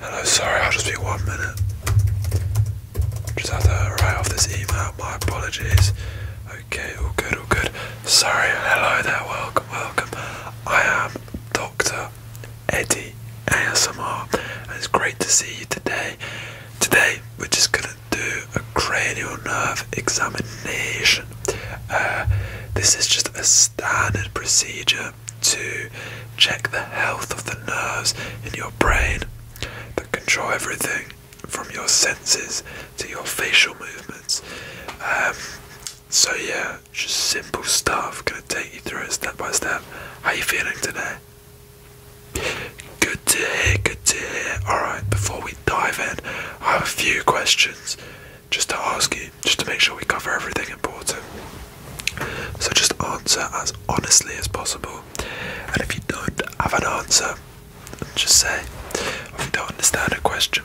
Hello, sorry, I'll just be one minute. Just have to write off this email, my apologies. Okay, all good, all good. Sorry, hello there, welcome, welcome. I am Dr. Eddie ASMR, and it's great to see you today. Today, we're just gonna do a cranial nerve examination. Uh, this is just a standard procedure to check the health of the nerves in your brain that control everything from your senses to your facial movements. Um, so yeah, just simple stuff. Gonna take you through it step by step. How you feeling today? Good to hear, good to hear. Alright, before we dive in, I have a few questions just to ask you, just to make sure we cover everything important. So just answer as honestly as possible. And if you don't have an answer, just say, if you don't understand a question.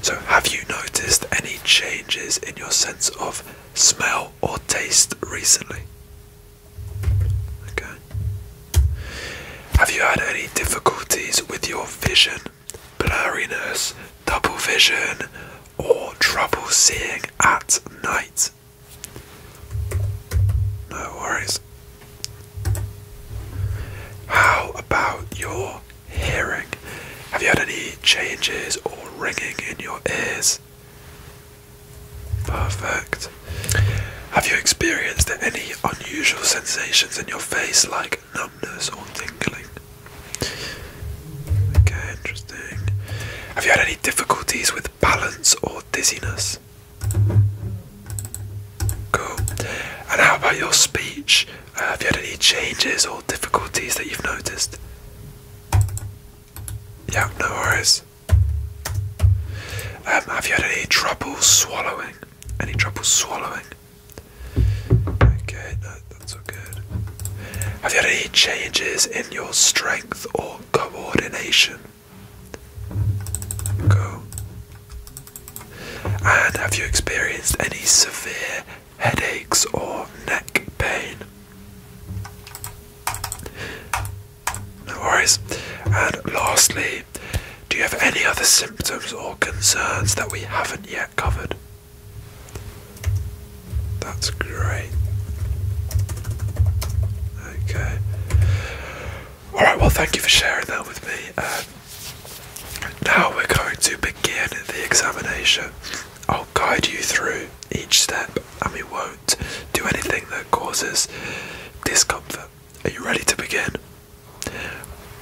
So, have you noticed any changes in your sense of smell or taste recently? Okay. Have you had any difficulties with your vision, blurriness, double vision, or trouble seeing at night? No worries. How about your hearing? Have you had any changes or ringing in your ears? Perfect. Have you experienced any unusual sensations in your face like numbness or tingling? Okay, interesting. Have you had any difficulties with balance or dizziness? Cool. And how about your speech? Uh, have you had any changes or difficulties that you've noticed? Yeah, no worries. Um, have you had any trouble swallowing? Any trouble swallowing? Okay, that's all good. Have you had any changes in your strength or coordination? Cool. And have you experienced any severe headaches or neck pain? No worries. And lastly, do you have any other symptoms or concerns that we haven't yet covered? That's great. Okay. Alright, well, thank you for sharing that with me. Um, now we're going to begin the examination. I'll guide you through each step and we won't do anything that causes discomfort. Are you ready to begin?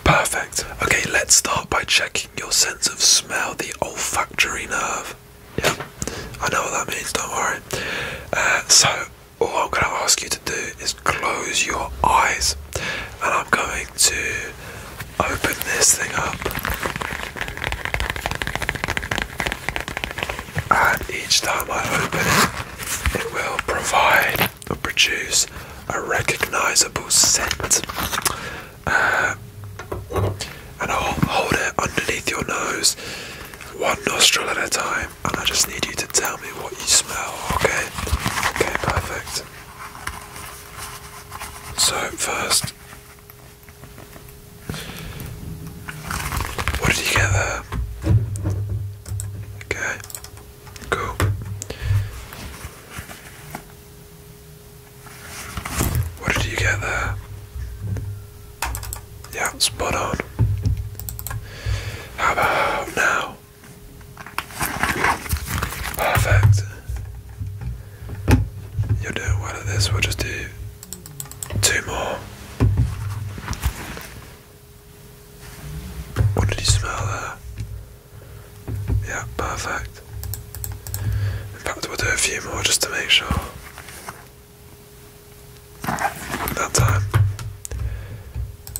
Perfect. Okay, let's start by checking your sense of smell, the olfactory nerve. Yeah, I know what that means, don't worry. Uh, so, all I'm going to ask you to do is close your eyes, and I'm going to open this thing up and each time I open it, it will provide or produce a recognizable scent. Uh, and I'll hold it underneath your nose, one nostril at a time, and I just need you to tell me what you smell, okay? Okay, perfect. So, first, what did you get there? Yeah. Okay. Cool. What did you get there? Yeah, spot on. How about now? Perfect. You're doing well at this, we'll just do Two more. What did you smell there? Yeah, perfect. In we'll do a few more just to make sure. That time.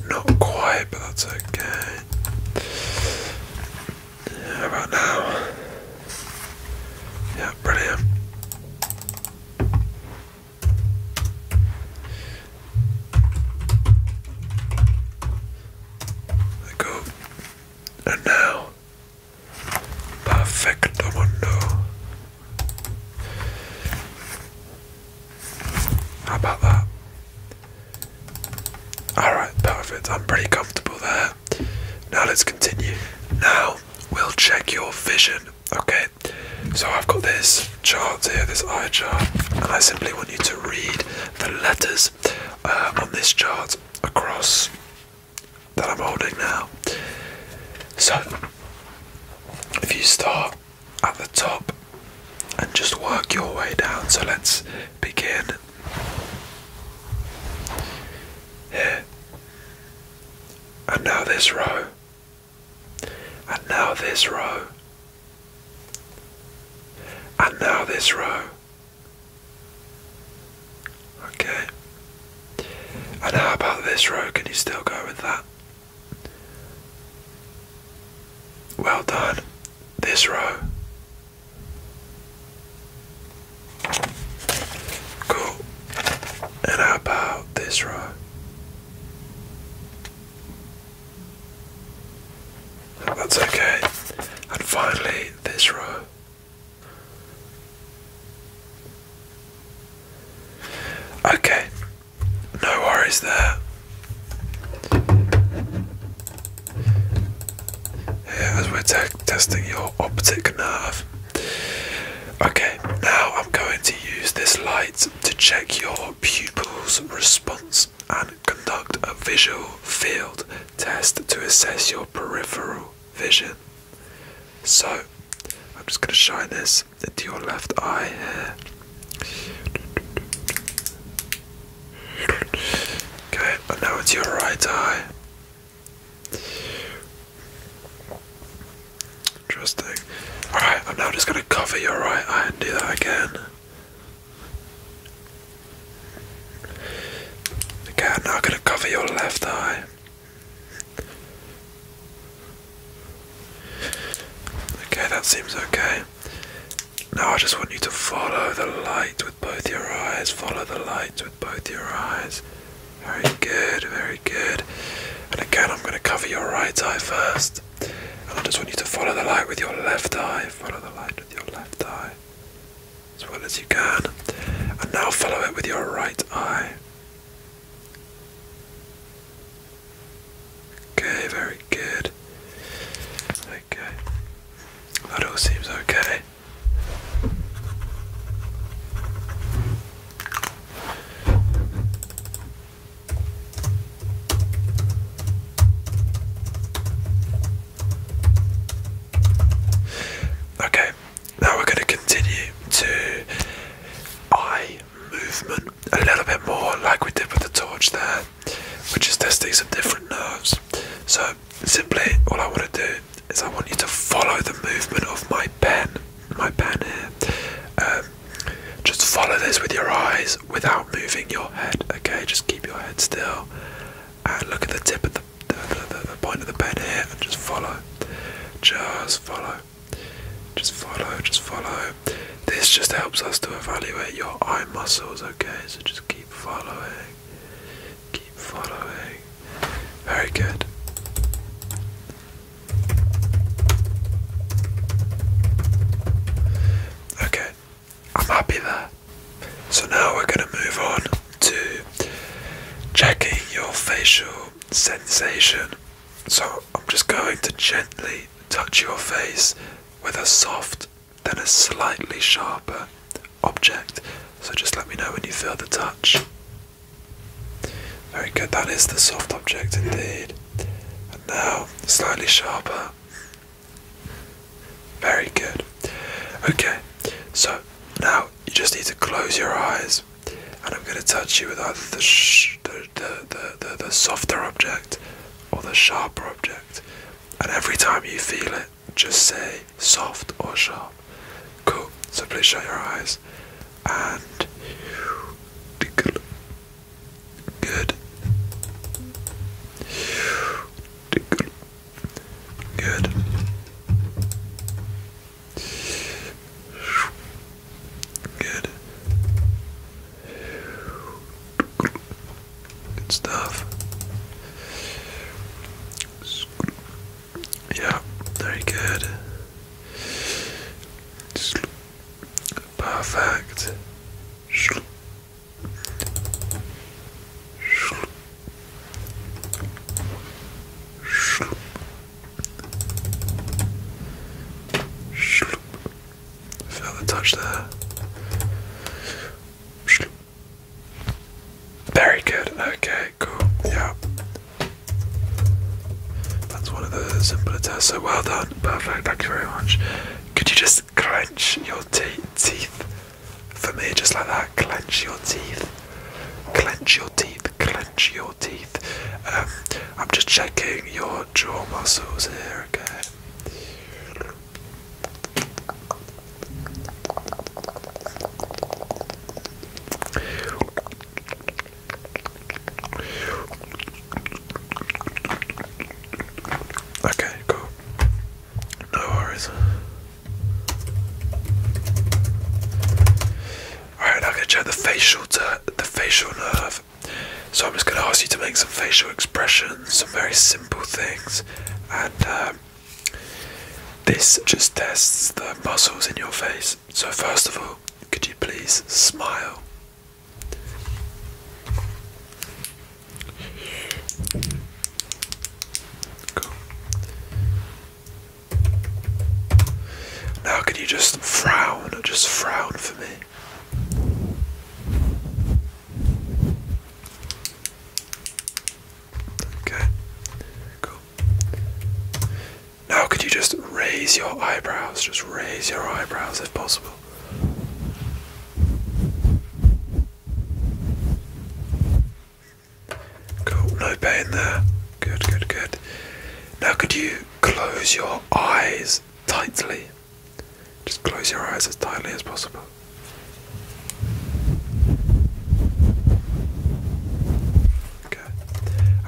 Not quite, but that's okay. about now? Yeah, brilliant. There go. And now, perfecto mundo. How about that? Alright, perfect. I'm pretty comfortable there. Now let's continue. Now we'll check your vision. Okay, so I've got this chart here, this eye chart, and I simply want you to read the letters uh, on this chart across that I'm holding now. So, if you start at the top and just work your way down, so let's begin here. And now this row. And now this row. And now this row. Okay. And how about this row? Can you still go with that? Well done. This row. Cool. And how about this row? That's okay. And finally, this row. Okay, no worries there. Yeah, as we're testing your optic nerve, Okay, now I'm going to use this light to check your pupil's response and conduct a visual field test to assess your peripheral vision. So, I'm just going to shine this into your left eye here. Okay, now into your right eye. Interesting. Alright, I'm now just going to cover your right eye and do that again. Okay, I'm going to cover your left eye. Okay, that seems okay. Now I just want you to follow the light with both your eyes. Follow the light both your eyes. Very good, very good. And again, I'm going to cover your right eye first. And I just want you to follow the light with your left eye. Follow the light with your left eye as well as you can. And now follow it with your right eye. Okay, very good. Okay. That all seems okay. Okay, now we're going to continue to eye movement a little bit more, like we did with the torch there, which is testing some different nerves. So, simply, all I want to do is I want you to follow the movement of my pen, my pen here. Um, just follow this with your eyes without moving your head, okay? Just keep your head still and look at the tip of the, the point of the pen here and just follow. Just follow. Just follow, just follow. This just helps us to evaluate your eye muscles, okay? So just keep following. Keep following. Very good. Okay, I'm happy there. So now we're going to move on to checking your facial sensation. So I'm just going to gently touch your face with a soft, then a slightly sharper object. So just let me know when you feel the touch. Very good, that is the soft object indeed. And now, slightly sharper. Very good. Okay, so now you just need to close your eyes and I'm going to touch you with either the, the, the, the softer object or the sharper object. And every time you feel it, just say soft or sharp. Cool. So please shut your eyes and good. Good. Good. Good stuff. Yeah, very good. Perfect. Felt the touch there. Very good. Okay, cool. Yeah. That's one of the simpler tests. So well done. Perfect. Thank you very much. Could you just clench your teeth for me? Just like that. Clench your teeth. Clench your teeth. Clench your teeth. Um, I'm just checking your jaw muscles here. again. Okay, cool. No worries. Alright, I'm gonna check the facial the facial nerve. So I'm just gonna ask you to make some facial expressions, some very simple things, and um, this just tests the muscles in your face. So, first of all, could you please smile? Cool. Now, can you just frown? Just frown for me. Okay, cool. Now, could you just raise your eyebrows? Just raise your eyebrows if possible. Cool, no pain there. Good, good, good. Now, could you close your eyes tightly? Just close your eyes as tightly as possible. Okay.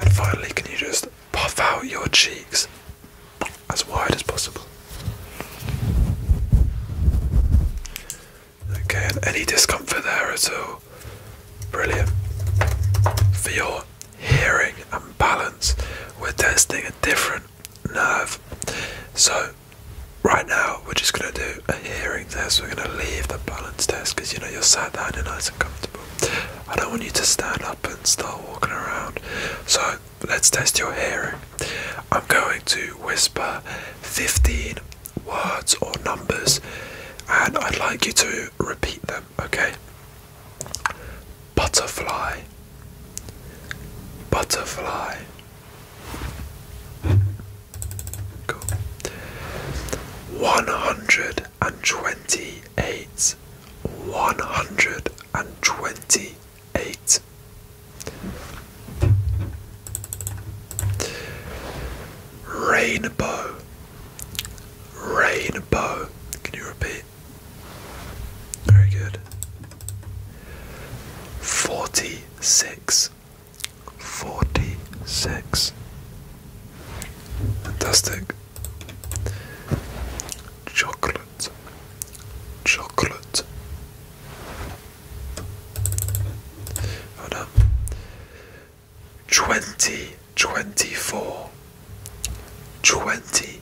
And finally, can you just puff out your cheeks as wide as possible? Okay, any discomfort there at all? Brilliant. For your hearing and balance, we're testing a different nerve. So, right now we're just going to do a hearing test. We're going to leave the balance test because you know you're sat down, you're nice and comfortable. I don't want you to stand up and start walking around. So let's test your hearing. I'm going to whisper 15 words or numbers and I'd like you to repeat them, okay? Butterfly, butterfly. One hundred and twenty eight. One hundred and twenty eight. Rainbow. Rainbow. Can you repeat? Very good. Forty six. Forty six. Fantastic. Chocolate. Chocolate. Hold on. Twenty twenty four. Twenty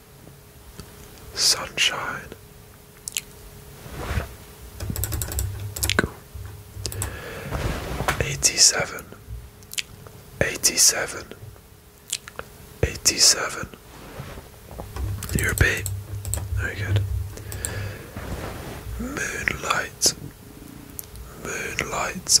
Sunshine. Cool. 87 87 87 you beat. Very good. Moonlight. Moonlight.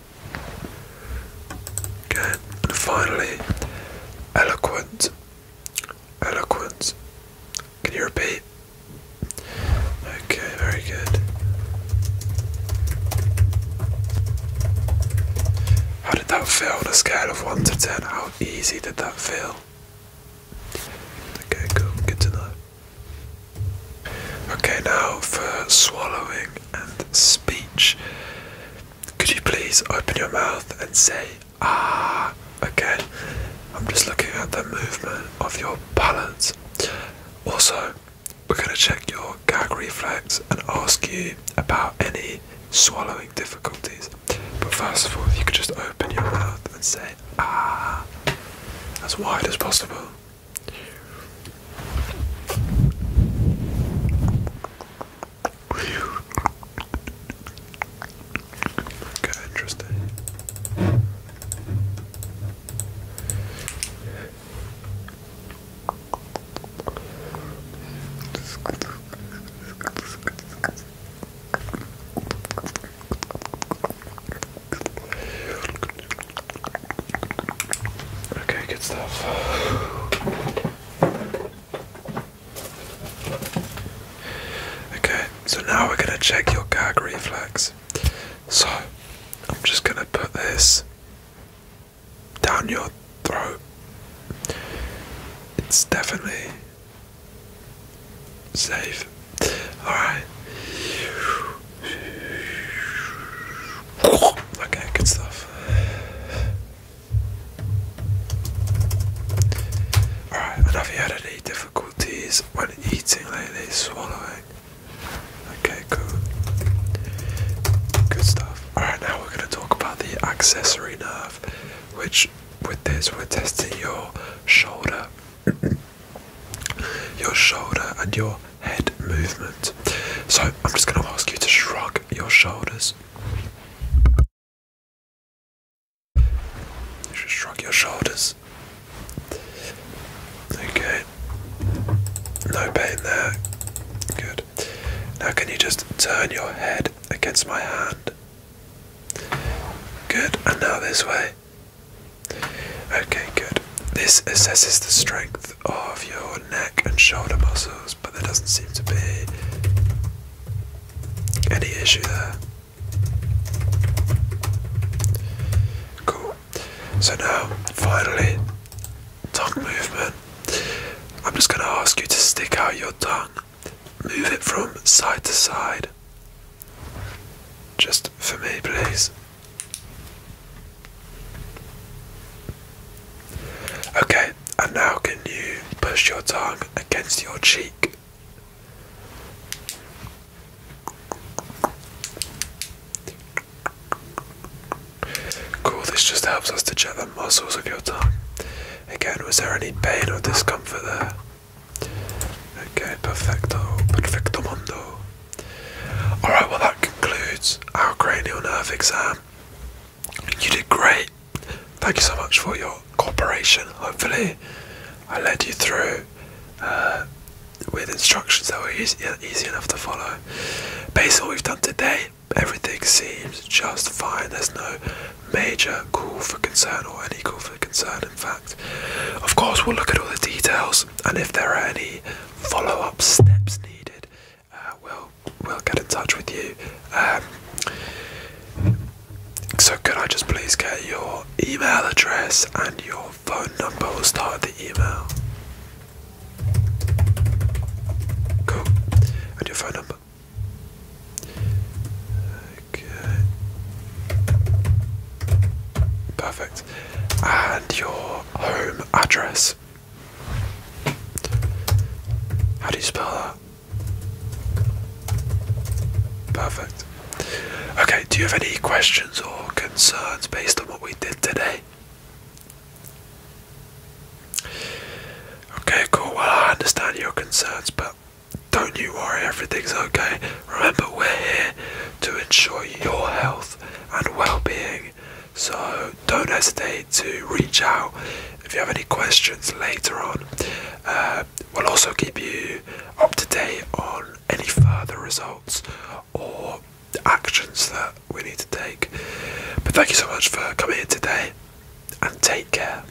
Okay, and finally, eloquent. Eloquent. Can you repeat? Okay, very good. How did that feel on a scale of 1 to 10? How easy did that feel? Okay, cool, good to know. Okay, now for swallowing and speech. Could you please open your mouth and say ah again? I'm just looking at the movement of your palate. Also, we're going to check your gag reflex and ask you about any swallowing difficulties. But first of all, if you could just open your mouth and say ah as wide as possible. Okay, interesting. Okay, good stuff. Okay, so now we're going to check your gag reflex. So, I'm just going to put this down your throat. It's definitely safe. Alright. Okay, good stuff. Alright, have you had any difficulties when eating lately? Swallowing? Okay, cool. Good stuff. Alright, now we're going to talk about the accessory nerve, which with this we're testing your shoulder your shoulder and your head movement. So I'm just going to ask you to shrug your shoulders. You should shrug your shoulders. Okay. No pain there. Good. Now, can you just turn your head against my hand? Good. And now this way. Okay, good. This assesses the strength of your neck and shoulder muscles, but there doesn't seem to be any issue there. Cool. So now, finally, tongue movement. I'm just going to ask you to stick out your tongue, move it from side to side, just for me, please. Okay, and now can you push your tongue against your cheek? Cool, this just helps us to check the muscles of your tongue. Again, was there any pain or discomfort there? Okay, perfecto, perfecto mundo. Alright, well, that concludes our cranial nerve exam. You did great. Thank you so much for your cooperation. Hopefully, I led you through uh, with instructions that were easy, easy enough to follow. Based on what we've done today, everything seems just fine. There's no major call for concern or any call for concern, in fact. Of course, we'll look at all the details and if there are any follow-up steps needed, uh, we'll we'll get in touch with you. Um, so could I just please get your email address and your phone number? We'll start the email. Cool. And your phone number. Okay. Perfect. And your home address. How do you spell that? Perfect. Okay, do you have any questions or concerns based on what we did today? Okay, cool. Well, I understand your concerns, but don't you worry, everything's okay. Remember, we're here to ensure your health and well being. So don't hesitate to reach out if you have any questions later on. Uh, we'll also keep you up to date on any further results or actions that we need to take. But thank you so much for coming in today and take care.